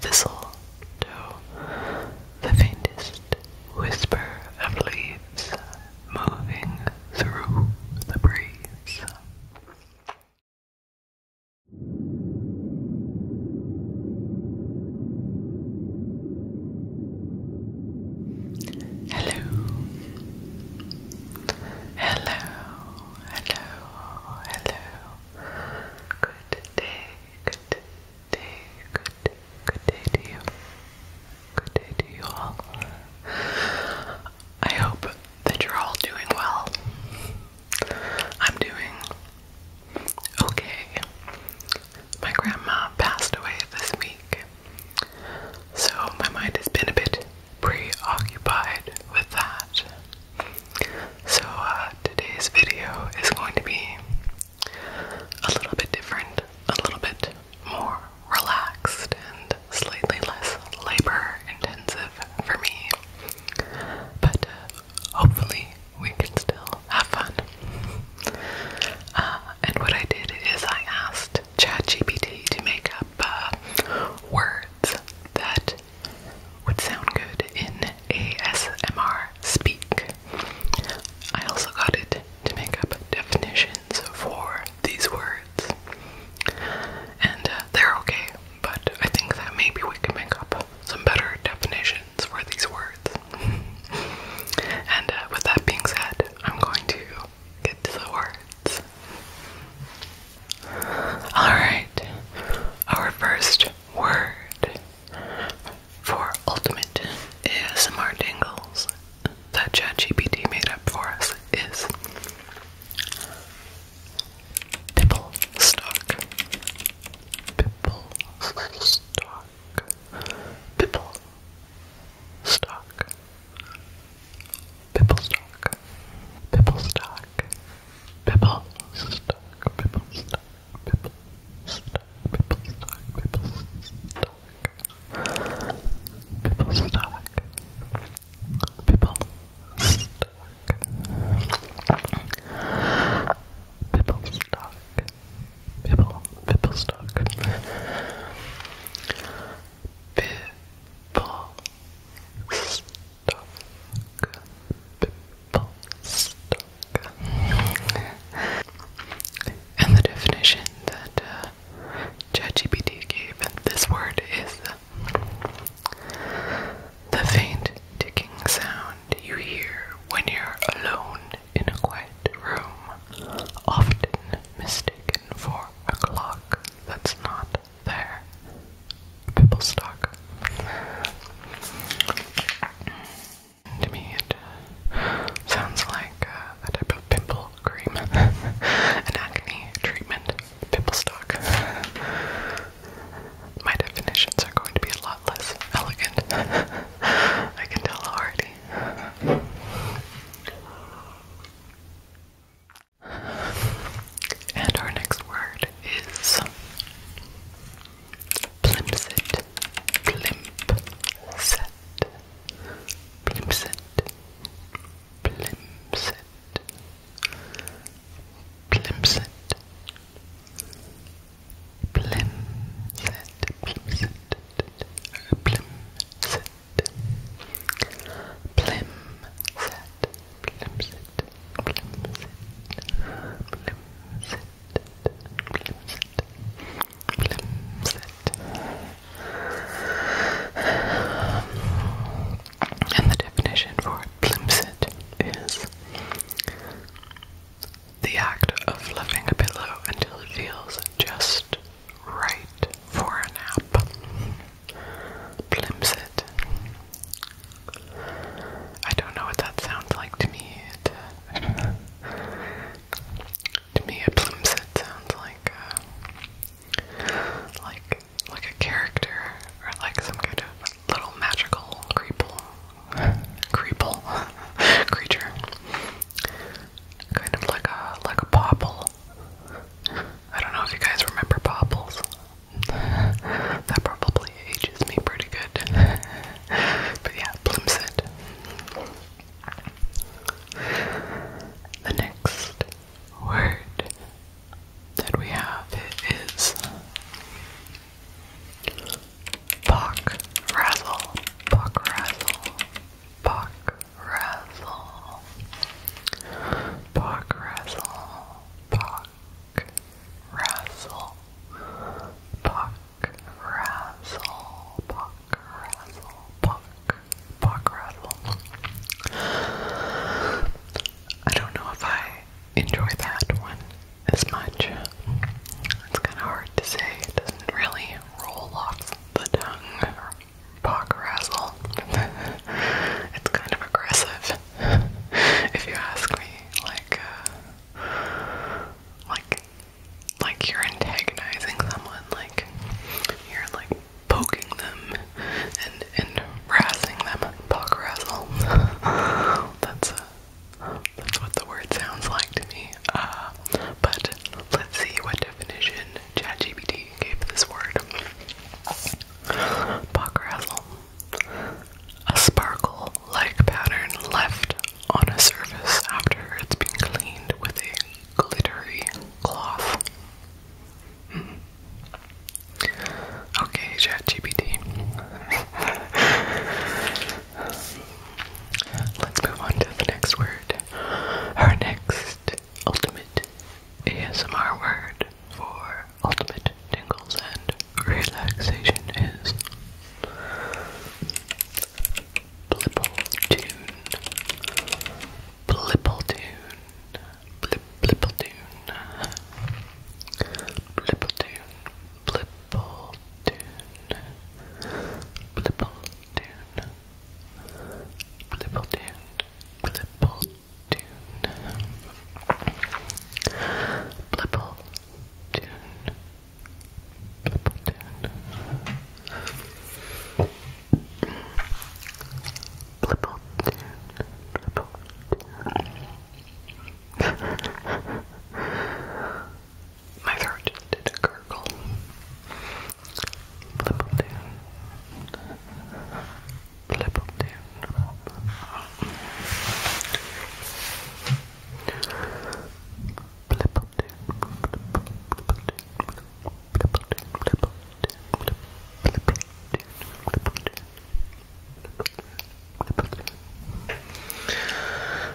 Thistle, thistletoe, the faintest whisper of leaves moving through the breeze. Hello. Hello. Hello. Hello. Good day. Good day, good good day to you. Good day to you all. I hope that you're all doing well. I'm doing okay. My grandma passed away this week, so my mind has been a bit preoccupied with that. So, uh, today's video is going to be a little bit different, a little bit more relaxed, and slightly less labor intensive for me. But uh, hopefully, we can still have fun. Uh, and what I did is I asked ChatGPT to make up words that would sound good in ASMR speak. I also got it to make up definitions for these words. And uh, they're okay, but I think that maybe we can make up some better definitions for these words. and uh, with that being said, I'm going to get to the words. Alright, our first word for ultimate ASMR dingles that ChatGPT made up for us is pipple stock. Pipple stock. Pipple stock. Pipple stock. Pipple stock. Pipple stuck, pipple stuck, pipple stuck, pipple stuck, pipple stuck, pipple stuck, pipple stuck, pipple stuck, pipple, pipple stuck, pipple stuck and the definition that uh, ChatGPT gave this word is the faint ticking sound you hear when you're alone in a quiet room, often mistaken for a clock that's not there. Bibblestock. To me, it uh, sounds like uh, a type of pimple cream, an acne treatment, Bibblestock. My definitions are going to be a lot less elegant. I can tell already. And our next word word is plimset, plimset, plimset, plimset, plimset, plimset, plimset, plimset, plimset, plimset. And the definition for plimsit is the act of loving a pillow until it feels just right for a nap. Plimsit I don't know what that sounds like to me. It, uh, to me, it blooms. sounds like uh, like like a character or like some kind of little magical creeple, creeple creature. Kind of like a like a popple. I don't know if you guys remember popples that probably ages me pretty good. but yeah, Plimset. The next word that we have is Pock Razzle. Pock Razzle. Pock razzle, puck, razzle, puck, razzle, puck, puck, razzle. I don't know if I enjoy that one as much. It's kind of hard to say. It doesn't really roll off the tongue. Or Pog razzle. it's kind of aggressive. if you ask me. Like, uh, like, like you're antagonizing someone. Like, you're like poking them and and razzing them. Pock razzle. that's uh, that's what the word sounds like to me. Uh, but let's see what definition ChatGPT gave this word. Pock razzle a sparkle like pattern left on a surface after it's been cleaned with a glittery cloth. Hmm. Okay, ChatGPT. Let's move on to the next word. Our next ultimate ASMR word for ultimate tingles and relaxation is. Blipple tune. Blipple tune. Blip blipple tune. Blipple tune. Blipple tune. Blipple tune. Blipple tune. Blipple tune. Blipple tune. Blipple tune. Blipple tune. Blipple tune. My throat just did a gurgle. Blipple tune. Littleton. Littleton.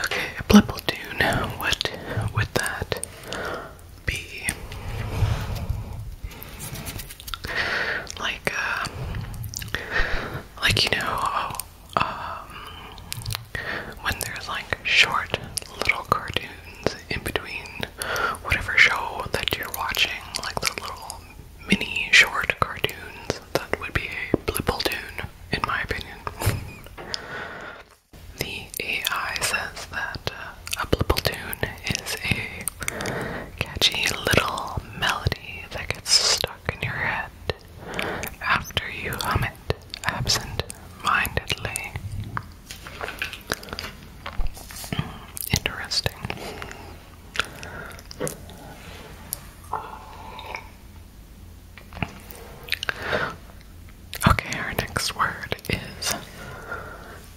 Okay, Blippledoon, what would that be? like uh, like you know oh, um, when there's like short little cartoons in between whatever show that you're watching, like the little mini short cartoons, that would be a blippledoon, in my opinion. The AI says that uh, a blippledoon is a catchy little melody that gets stuck in your head after you hum it absent-mindedly. Interesting. Okay, our next word is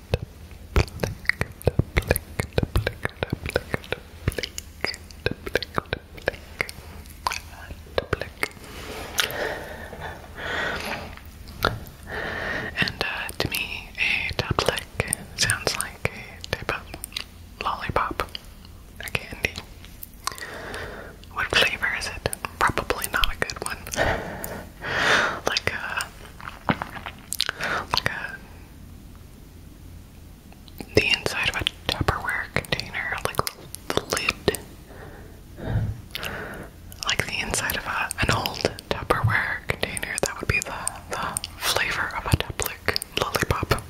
And uh, to me, a tap lick sounds like a type of lollipop, a candy. What flavor is it? Probably not a good one. like a uh, like the inside of a Tupperware container, like the lid, like the inside of a, an old Tupperware container. That would be the the flavor of a Tuplik lollipop.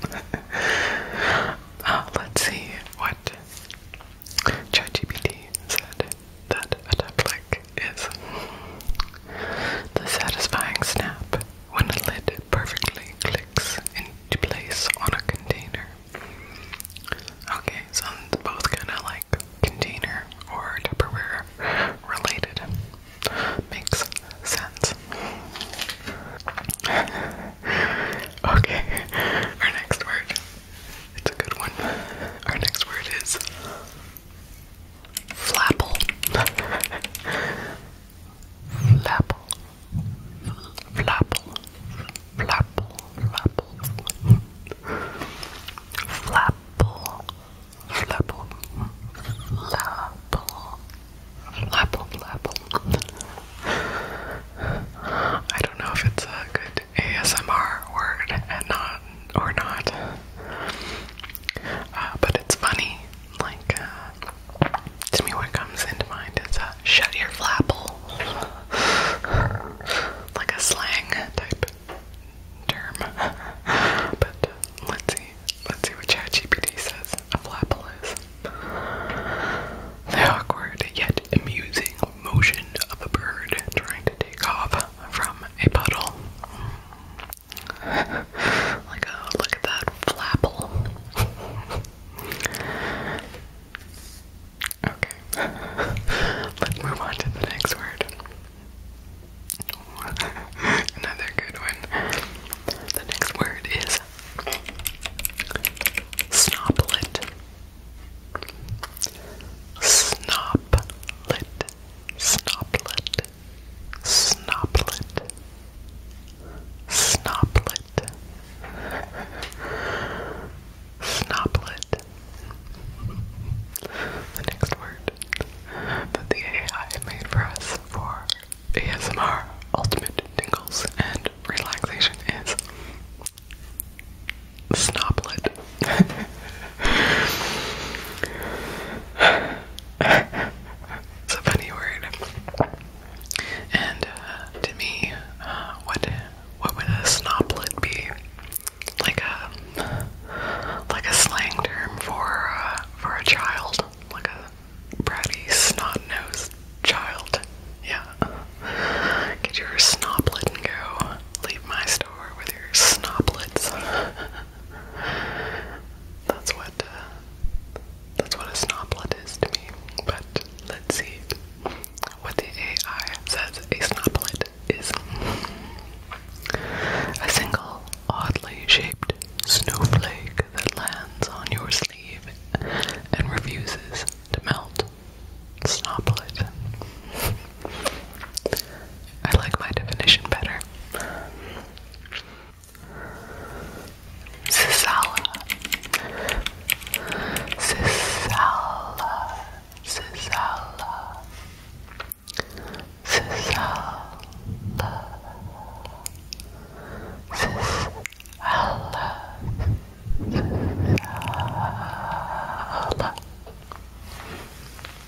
Uh, let's see what ChatGPT said that a tap like is. The satisfying snap when a lid perfectly clicks into place on a container. Okay, so both kind of like container or Tupperware related. Makes sense. okay, our next word. It's a good one. Our next word is Flapple. Flapple. Flapple. Flapple. Flapple. Flapple. Flapple. Flapple. Flapple. I don't know if it's a good ASMR word and not or not. Uh, but it's funny, like, uh, to me, what comes into mind is uh, shut flapple, like a slang type term. Uh, let's see, let's see what ChatGPT says a flapple is. The awkward yet amusing motion of a bird trying to take off from a puddle. like, oh, look at that flapple. okay, let's move on to the next word. Another good one. The next word is snoblet. Snoblet snoblet, snoblet, snoblet, snoblet. The next word that the AI made for us for ASMR ultimate tingles and relaxation is Snoblet. it's a funny word. And uh, to me, uh, what what would a snoblet be? Like a like a slang term for uh, for a child, like a bratty snot-nosed child. Yeah. Get your snoblet and go. Leave my star door with your snoblets. that's what uh, that's what a snoblet is to me. But let's see what the AI says a snoblet is. A single oddly shaped snowflake that lands on your sleeve and refuses to melt. Snoblet. I like my definition better. Sisala. Sisala. Sisala. Sisala. Sisala. Sisala.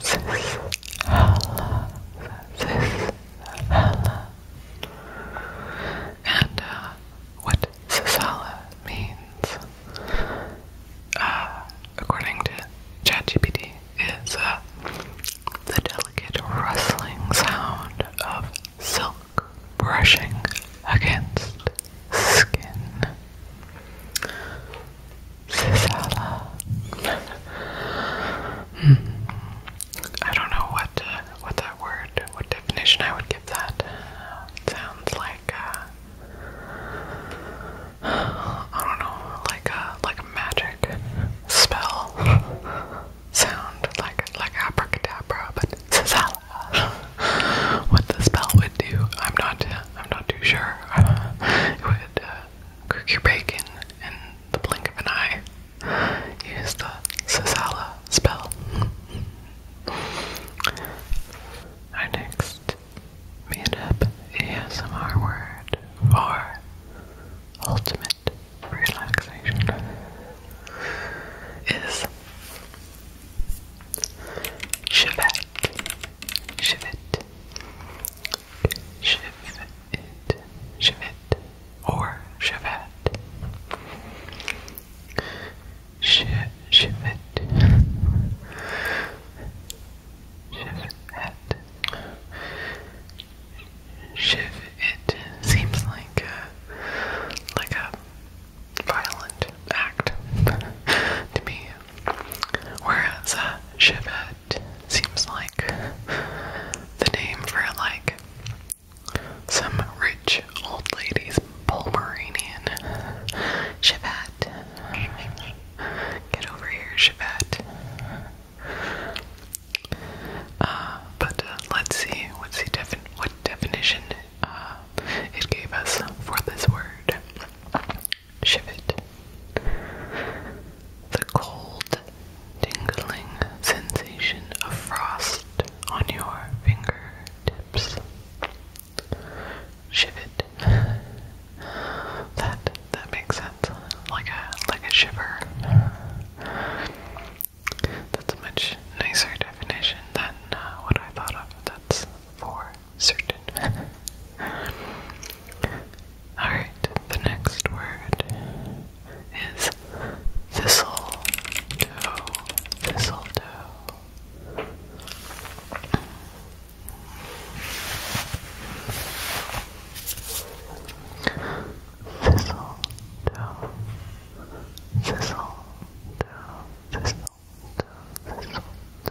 Sis, Hala, And uh, what Sisala means, uh, according to ChatGPT, is uh, the delicate rustling sound of silk brushing against skin. Sisala. I don't know what uh, what that word, what definition I would give that. sounds like uh, I don't know, like a uh, like a magic spell sound, like like abracadabra, but sisala. what the spell would do, I'm not I'm not too sure. it would. Uh, cook your bacon in the blink of an eye. Use the Sazala spell. Our next meetup ASMR word for ultimate relaxation is Chevette. Chevette. Shivit, Shivit, or Shivat. Sh Shivit, Shivat. Shiv it seems like a, like a violent act to me. Whereas uh, shiv seems like the name for like some rich old lady's Pomeranian. Chevette. Get over here, Chevette. Uh, but uh, let's see what's the defi what definition uh, it gave us for this word shivered. The cold, tingling sensation of frost on your fingertips. Shivered. that that makes sense. Like a like a shiver. That's a much nicer definition than uh, what I thought of. That's for certain. Alright, the next word is thistle toe. Thistle toe. Thistle toe. Thistle toe. Thistle toe. Thistle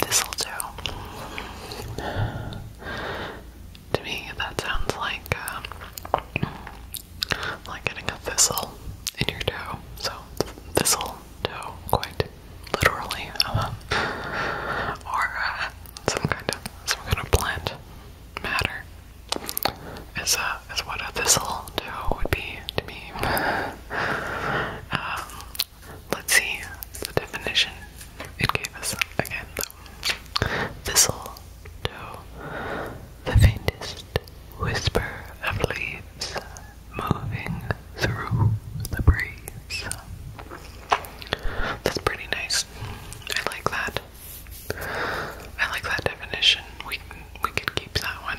This'll do. To me, that sounds like um, like getting a thistle in your toe. So thistle toe, quite literally, um, or uh, some kind of some kind of plant matter is uh, is what a thistle toe would be to me. Um, Let's see the definition it gave us again though. Thistle toe, the faintest whisper of leaves moving through the breeze. That's pretty nice. I like that. I like that definition. We we could keep that one.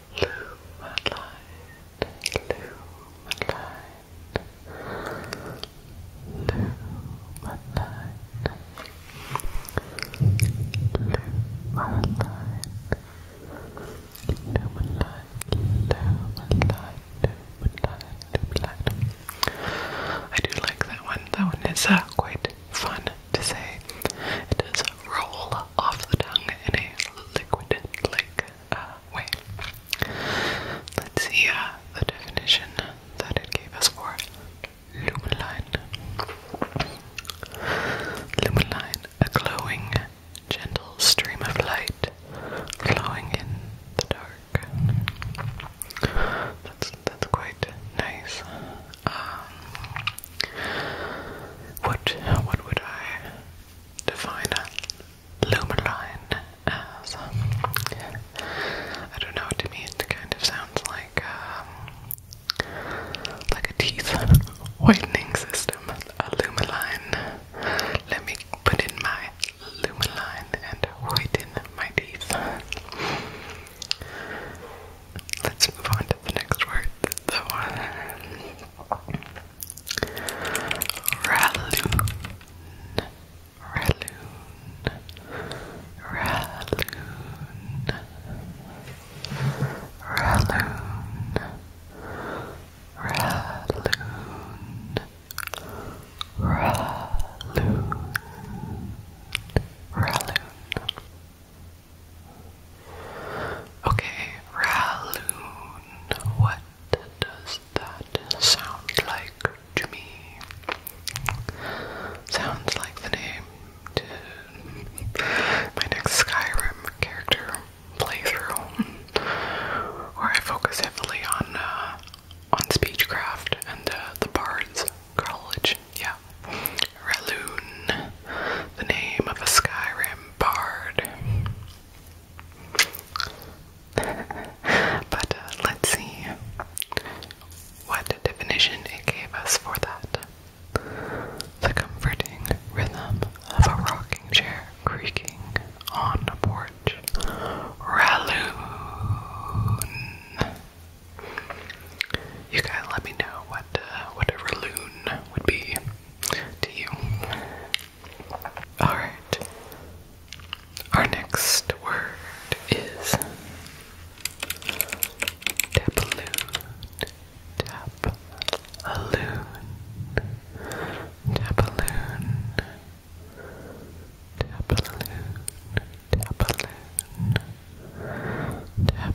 I do like that one. That one is quite fun to say. It roll off the tongue in a liquid like uh, way. Let's see uh, the definition that it gave us for lumeline. Lumeline, a glowing, gentle stream of light flowing in the dark. That's, that's quite nice. Um, what what would I define a lumen as um, I don't know. To me, it kind of sounds like um, like a teeth whitening system. A lumen Let me put in my lumen and whiten my teeth. Let's move on to the next word. The one. Ralloon, Ralloon, Ralloon, Ralloon, Ralloon, Ralloon, Ralloon. Okay, Raloon. What does that sound like to Sounds like the name to my next Skyrim character playthrough, where I focus heavily on uh, on speechcraft and the Bard's College. Yeah, Raloon, the name of a Skyrim Bard. but uh, let's see what definition it gave us for that. The comforting rhythm of a rocking chair creaking on a porch. Ralloon. You guys let me know what uh, what a would be to you. Alright. Our next word is Tapaloon. Tapaloon. Tapaloon. Tapaloon. Tapaloon. Tapaloon. Tapaloon.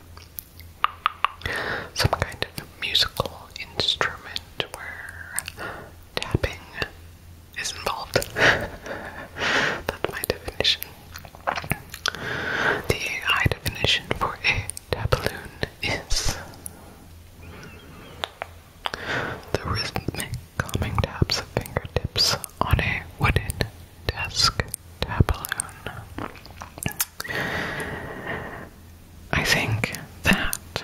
some kind of musical instrument where tapping is involved. That's my definition. The AI definition for a tabloon is the rhythmic calming taps of fingertips on a wooden desk tabloon. I think that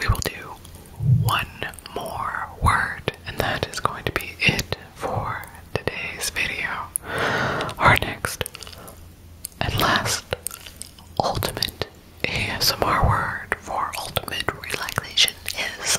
we will do one more word, and that is going to be it for today's video. Our next and last ultimate ASMR word for ultimate relaxation is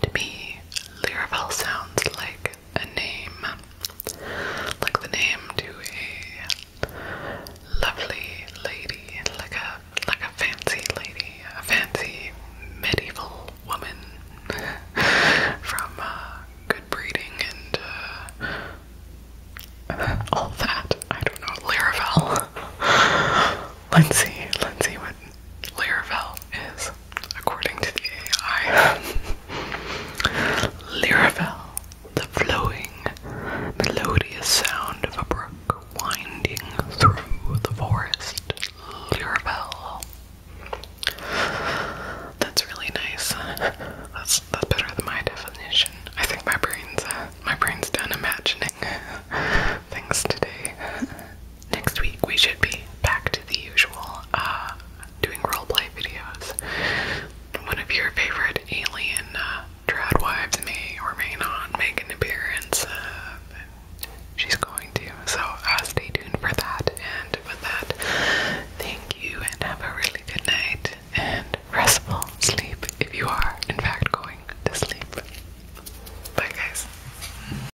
to be Liravel sounds like a name, like the name to a lovely lady, like a like a fancy lady, a fancy medieval woman from uh, good breeding and uh, all that. I don't know, Liravel. let's see what. Laravel is, according to the AI, Laravel, the flowing, melodious sound of a brook winding through the forest. Laravel. That's really nice. That's that's better than my definition. I think my brain's uh, my brain's done imagining things today next week we should be back to the usual uh, doing roleplay videos. One of your favorite alien uh, may or may not make an appearance. Uh, she's going to, so uh, stay tuned for that. And with that, thank you and have a really good night and restful sleep if you are, in fact, going to sleep. Bye, guys.